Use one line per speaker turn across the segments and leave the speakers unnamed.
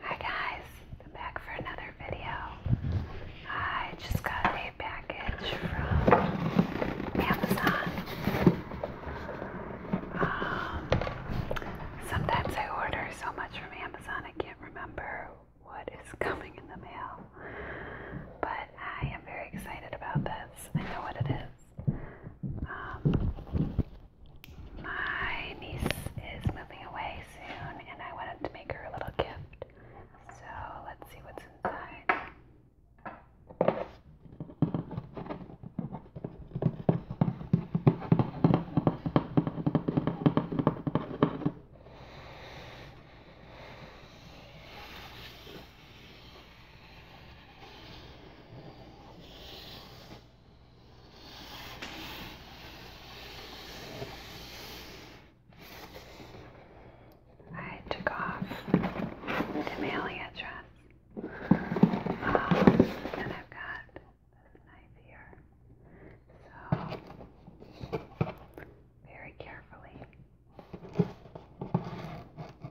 Hi guys, i back for another video. I just got a package from Amazon. Um, sometimes I order so much from Amazon I can't remember what is coming in the mail. But I am very excited about this. I know what it is. Um, my niece is moving away soon, and I wanted to make her a little gift. So let's see what's inside. I took off the mailing um, and I've got this knife here. So, very carefully.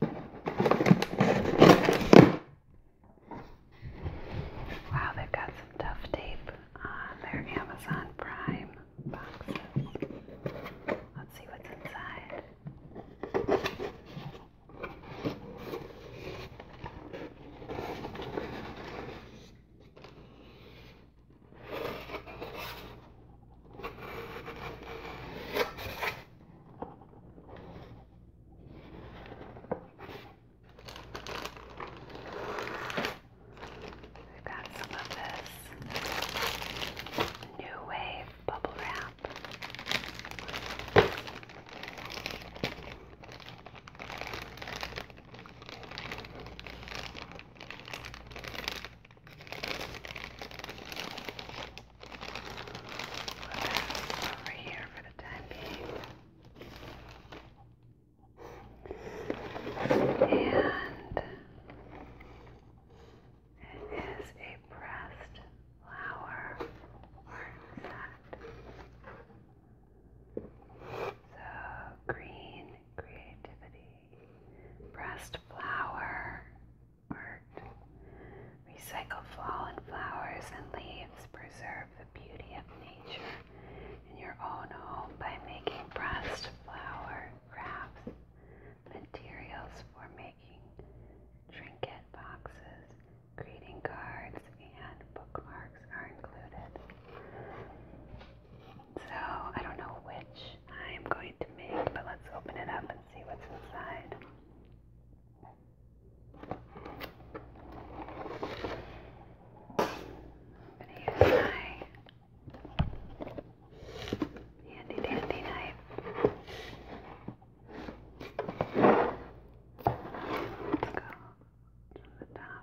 Wow, they've got some tough tape on their Amazon Prime boxes. Let's see what's inside. We've got some of this new wave bubble wrap over And it is a pressed flower art set. So green creativity, pressed flower, art. Recycle fallen flowers and leaves. Preserve the beauty of nature in your own home by making pressed flower crafts, materials for making trinket boxes, greeting cards, and bookmarks are included. So, I don't know which I am going to make, but let's open it up and see what's inside. I'm going to use my handy dandy knife. Let's go from the top.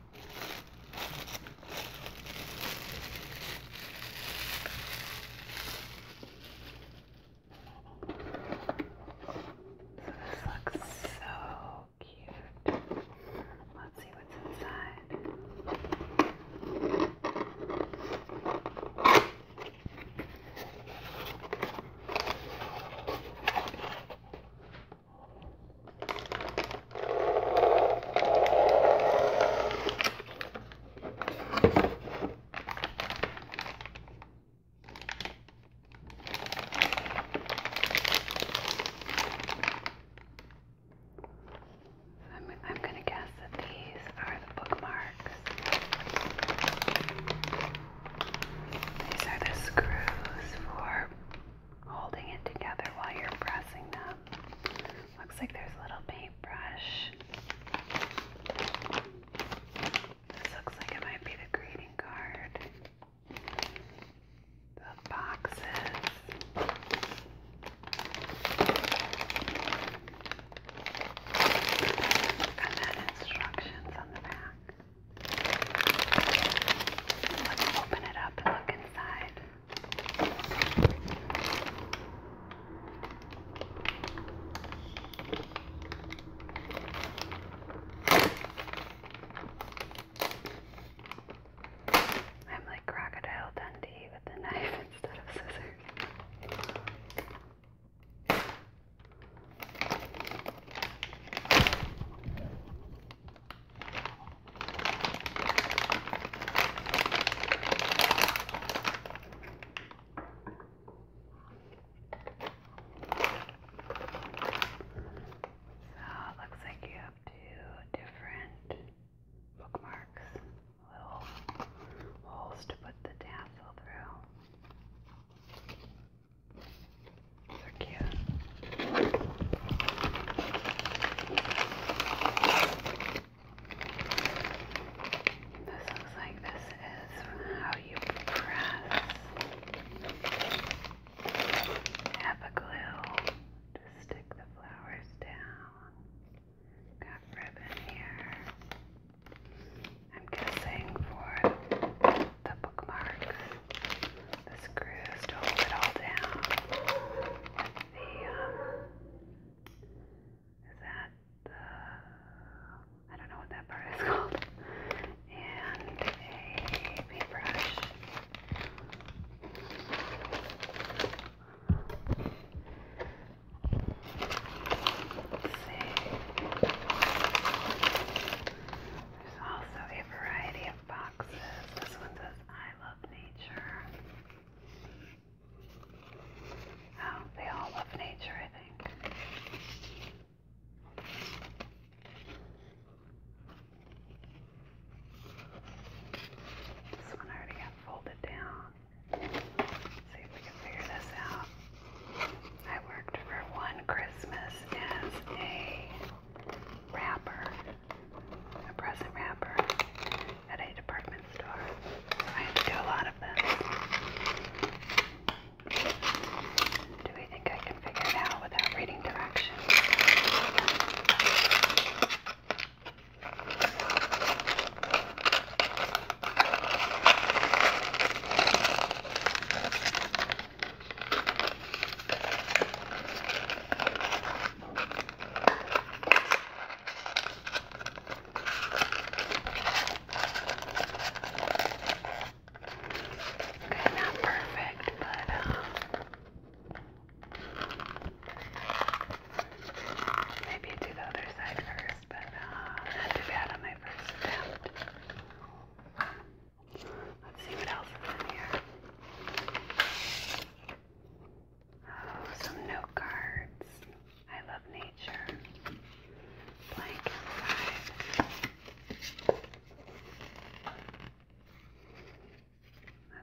This looks so cute. Let's see what's inside. I'm, I'm going to guess that these are the bookmarks. These are the screws for holding it together while you're pressing them. Looks like there's a little paintbrush. This looks like it might be the greeting card. The boxes. And then instructions on the back. Let's open it up and look inside. I'm like Crocodile Dundee with a knife instead of scissors it looks like you have two different bookmarks, little holes to put the tassel through they This looks like this is how you press Apple glue to stick the flowers down. Got ribbon here. I'm guessing for the bookmarks the screws to hold it all down with the, um, is that the, I don't know what that part is called, and a paintbrush. Let's see. There's also a variety of boxes. This one says, I love nature. Oh, they all love nature, I think. This one already got folded down. see if we can figure this out. I worked for one Christmas as a wrapper, a present wrapper at a department store. So I had to do a lot of them. Do we think I can figure out without reading directions? Okay, not perfect, but um, maybe do the other side first, but uh, not too bad on my first attempt. Let's see what else is in here. Oh, some note cards. I love nature. Blank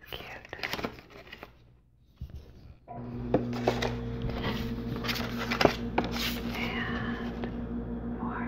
That's cute. And more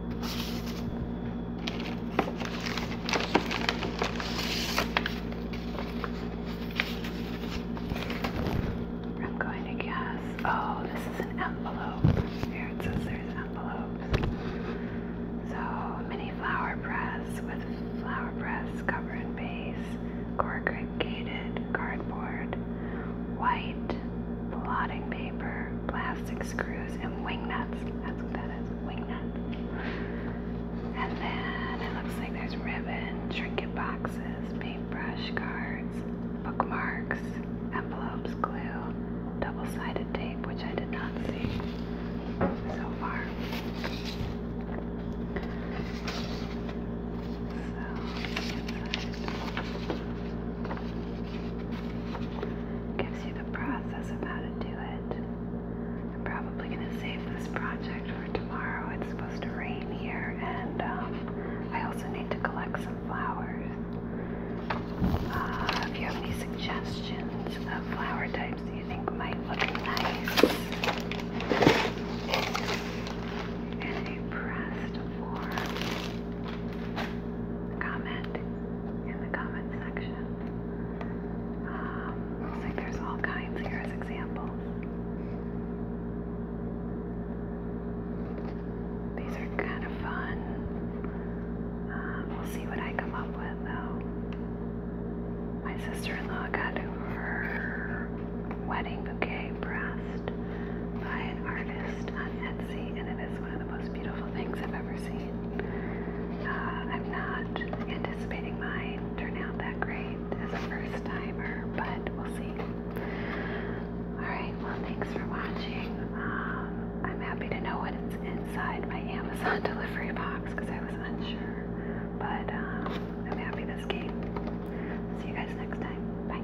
I'm going to guess. Oh, this is an envelope. Here it says there's envelopes. So, mini flower press with flower press cover and base, corrugated cardboard, white, blotting paper, plastic screws, and wing nuts. That's what that is, wing nuts. And then it looks like there's ribbon, trinket boxes, paintbrush cards, bookmarks, envelopes, glue, double-sided tape, which I did not see so far. So, Gives you the process of how to do it. I'm probably going to save this project for tomorrow. It's supposed to rain here, and um, I also need to collect some flowers. Uh, if you have any suggestions of flower types you think might look nice in pressed form, comment in the comment section. Um, looks like there's all kinds here as examples. These are kind of fun. Um, we'll see what I come up with though. My sister-in-law got her wedding bouquet pressed by an artist on Etsy and it is one of the most beautiful things I've ever seen. Uh, I'm not anticipating mine turn out that great as a first timer, but we'll see. Alright, well, thanks for watching. Um, I'm happy to know what is inside my Amazon delivery box because I was unsure, but um, I'm happy this game. See you guys next time. Bye.